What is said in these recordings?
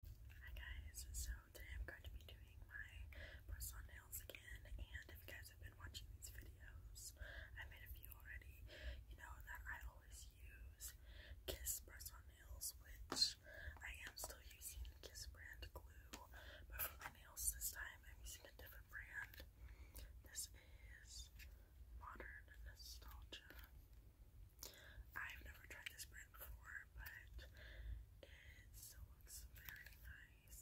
Hi guys, so today I'm going to be doing my porcelain nails again, and if you guys have been watching these videos, I made a few already, you know that I always use Kiss press-on nails, which I am still using Kiss brand glue, but for my nails this time I'm using a different brand. This is Modern Nostalgia. I've never tried this brand before, but it looks very nice,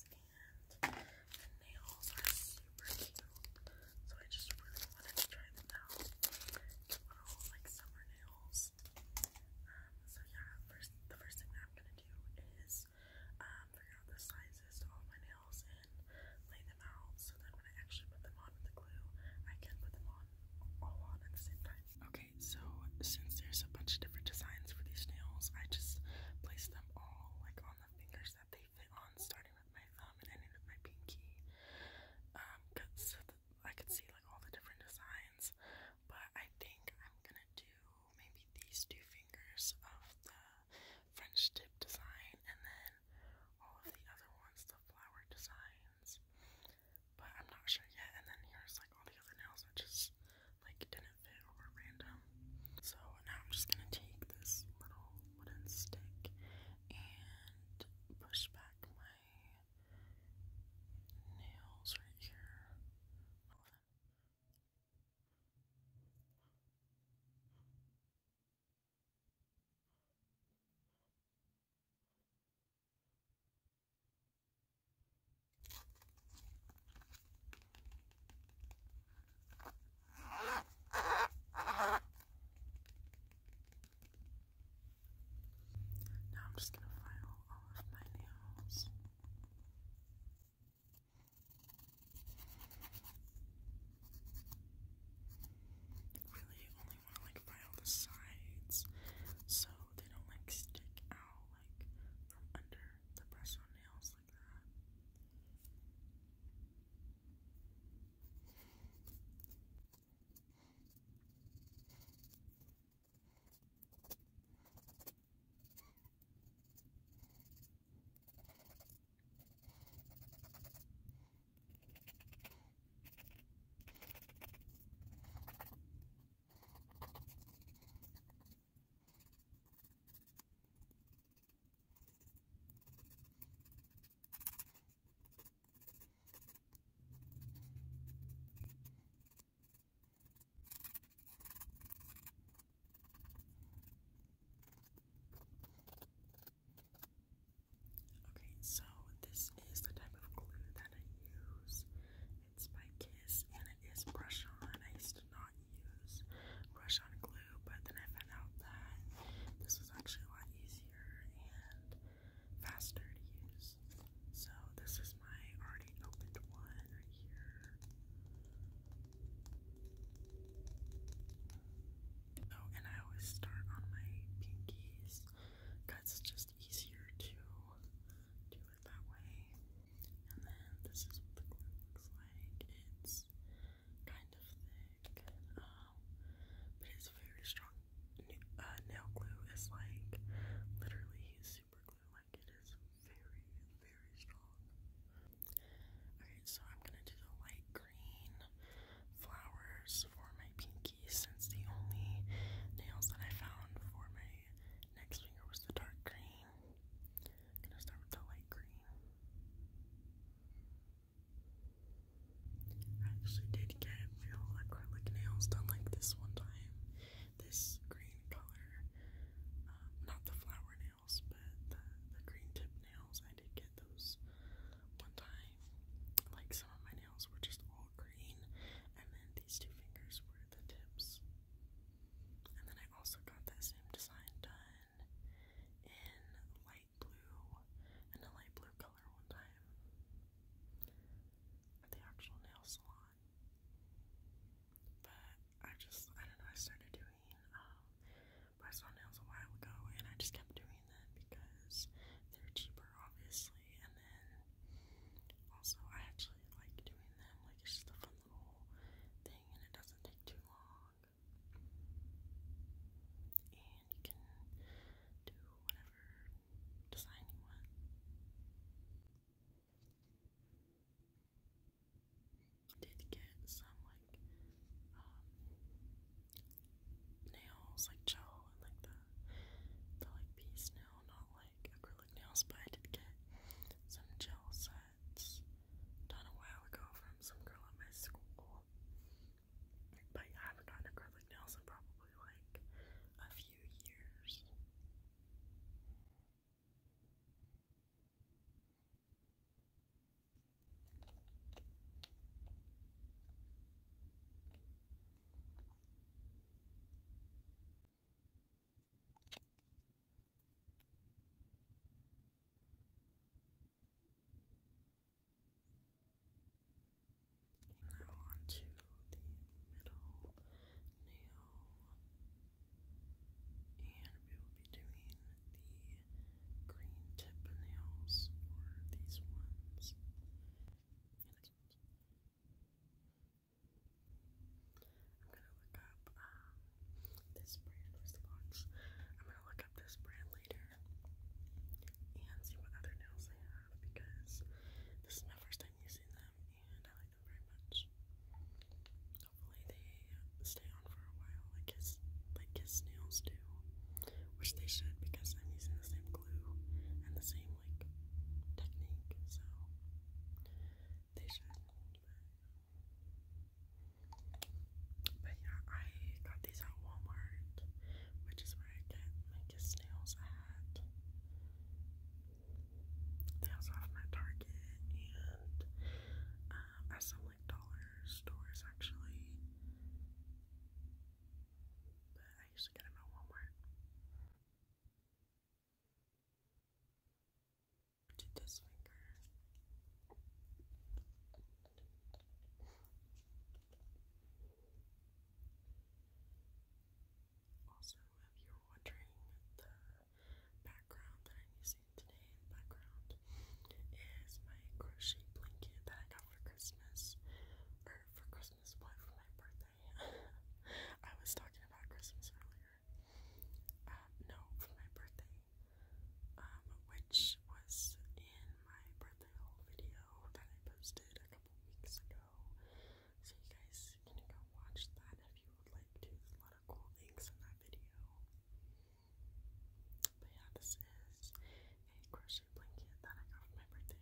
and the nails are super cute. So I just really wanted to try them out. Little like summer nails. Um, so yeah, first the first thing that I'm gonna do is um, figure out the sizes to all my nails and lay them out so that when I actually put them on with the glue, I can put them on all on at the same time. Okay so since there's a bunch of different designs for these nails, I just placed them all like on the fingers that they fit on, starting with my thumb and ending with my pinky. Um, cause I could see like all the different designs, but I think I'm gonna do maybe these two fingers of the French tip design and then all of the other ones, the flower designs but I'm not sure yet. And then here's like all the other nails that just like didn't fit or were random. So now I'm just gonna take this little wooden stick and push back my nails right here. All of them. Now I'm just going to file all of my nails. Really, you only want to like file the sides so they don't like stick out like from under the press on nails like that. Okay, so this is the type of glue that I use by Kiss and it is brush on. I used to not use brush on glue, but then I found out that this was actually a lot easier and faster to use. So, this is my already opened one right here. Oh, and I always start on my pinkies because just easier to do that way. And then this is what the glue looks like. It's kind of thick, um, but it's very strong. Uh, nail glue is like literally super glue, like it is very, very strong. Alright, so I'm gonna do the light green flowers for my pinky since the only nails that I found for my Next finger was the dark green. gonna start with the light green. I actually did get real acrylic nails done like this one time. This green color, uh, not the flower nails, but the, the green tip nails. I did get those one time. Like some of my nails were just all green, and then these two fingers were the tips. And then I also got that same design done in light blue, in a light blue color one time at the actual nail salon. But I just, I don't know, I started doing um, Bison nails a while ago and I just kept doing them because they're cheaper, obviously actually, and then also I actually like doing them, like just a fun little thing and it doesn't take too long. And you can do whatever design you want. did get some like um, nails like gel and like the the like piece nail, not like acrylic acrylic nails, gel sets done a while ago from some girl at my school. But I haven't gotten acrylic nails in probably like a few years. Now on the middle nail, and we will be doing the green tip nails, or these ones. I'm gonna look up this brand. Where's I'm gonna look up this brand later and see what other nails they have because this is my first time using them and I like them very much. Hopefully they stay on for a while, like his like his nails do, which they should because I'm using the same glue and the same teaching like technique, so they should. But, yeah, I got these at Walmart, which is where I get my nails at. They also have my Target and um, some like dollar stores actually. But I usually get them at Walmart to this finger. Also, if you're wondering the background that I'm using today, the background is my crochet blanket that I got for Christmas. Or for Christmas, what for my birthday? I was talking about Christmas earlier um, no, for my birthday, um, which was in my birthday video that I posted a couple weeks ago. So you guys can go watch that if you would like to. a lot of cool things in that video. But yeah, this is a crochet blanket that I got for my birthday.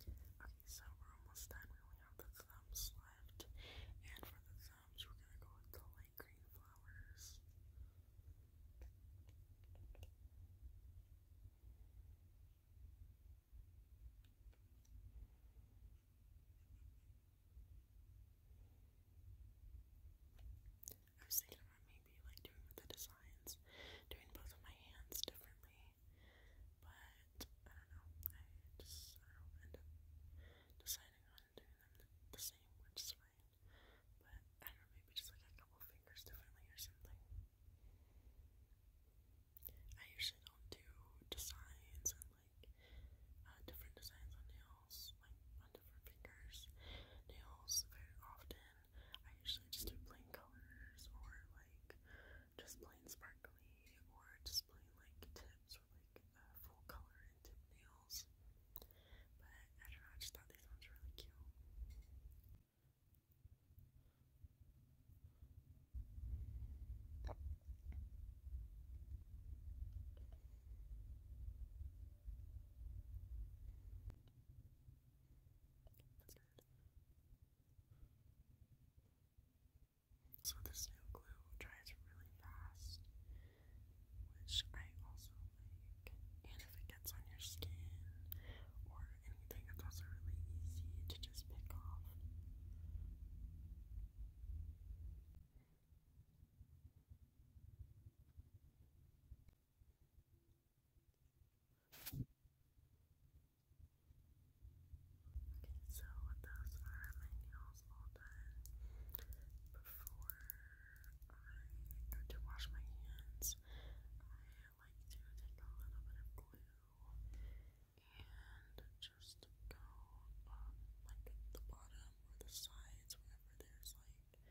Okay, so we're almost done. We only have the thumbs left. And for the thumbs, we're gonna go with the light green flowers. I was thinking about maybe like doing with the designs, doing both of my hands differently, but I don't know. I just end up deciding on doing them the, same, which is But I don't know, maybe just like a couple fingers differently or something. I usually don't do designs and like uh, different designs on nails, like on different fingers, nails very often. I usually just do plain colors or like just plain sparkly or just plain like tips or like uh, full color and tip nails. But I don't know, I just thought these ones were really cute. So this new glue dries really fast, which I also like. And if it gets on your skin or anything. It's also really easy to just pick off. Okay, so those are my nails all done. Before I go to wash my hands, I like to take a little bit of glue and just go like the bottom or the sides, wherever there's like an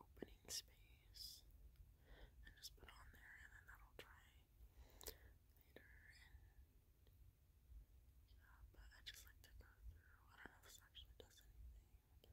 opening space, and just put on there, and then that'll dry later. And yeah, but I just like to go through. I don't know if this actually does anything, but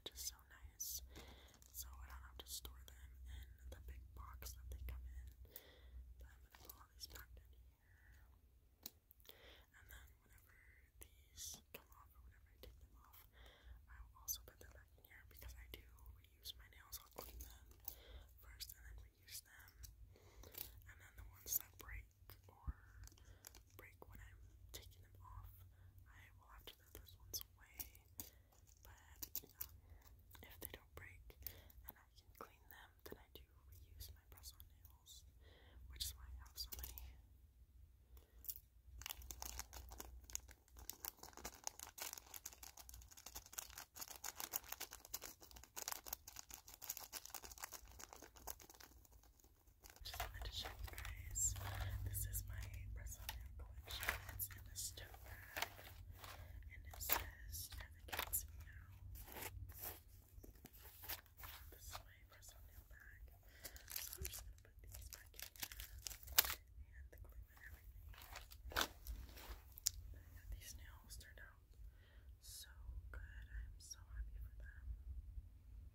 which is so nice. So I don't have to store them in the big box that they come in. But I'm gonna put all these back down here. And then whenever these come off or whenever I take them off, I will also put them back in here because I do reuse my nails. I'll clean them first and then reuse them. And then the ones that break or break when I'm taking them off, I will have to throw those ones away but if they don't break and I can clean them, then I do reuse my press on nails, which is why I have so many. Just wanted to show you guys. This is my press on nail collection. It's in a store and it says never gets me out. This is my first nail bag, so I'm just gonna put these back in and the glue and everything. these nails turned out so good. I'm so happy for them. I love them so much.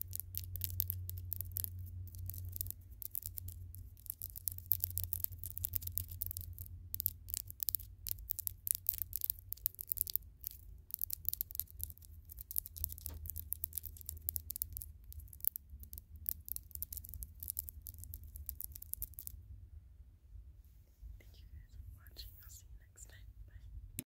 Thank you guys for watching. I'll see you next time. Bye.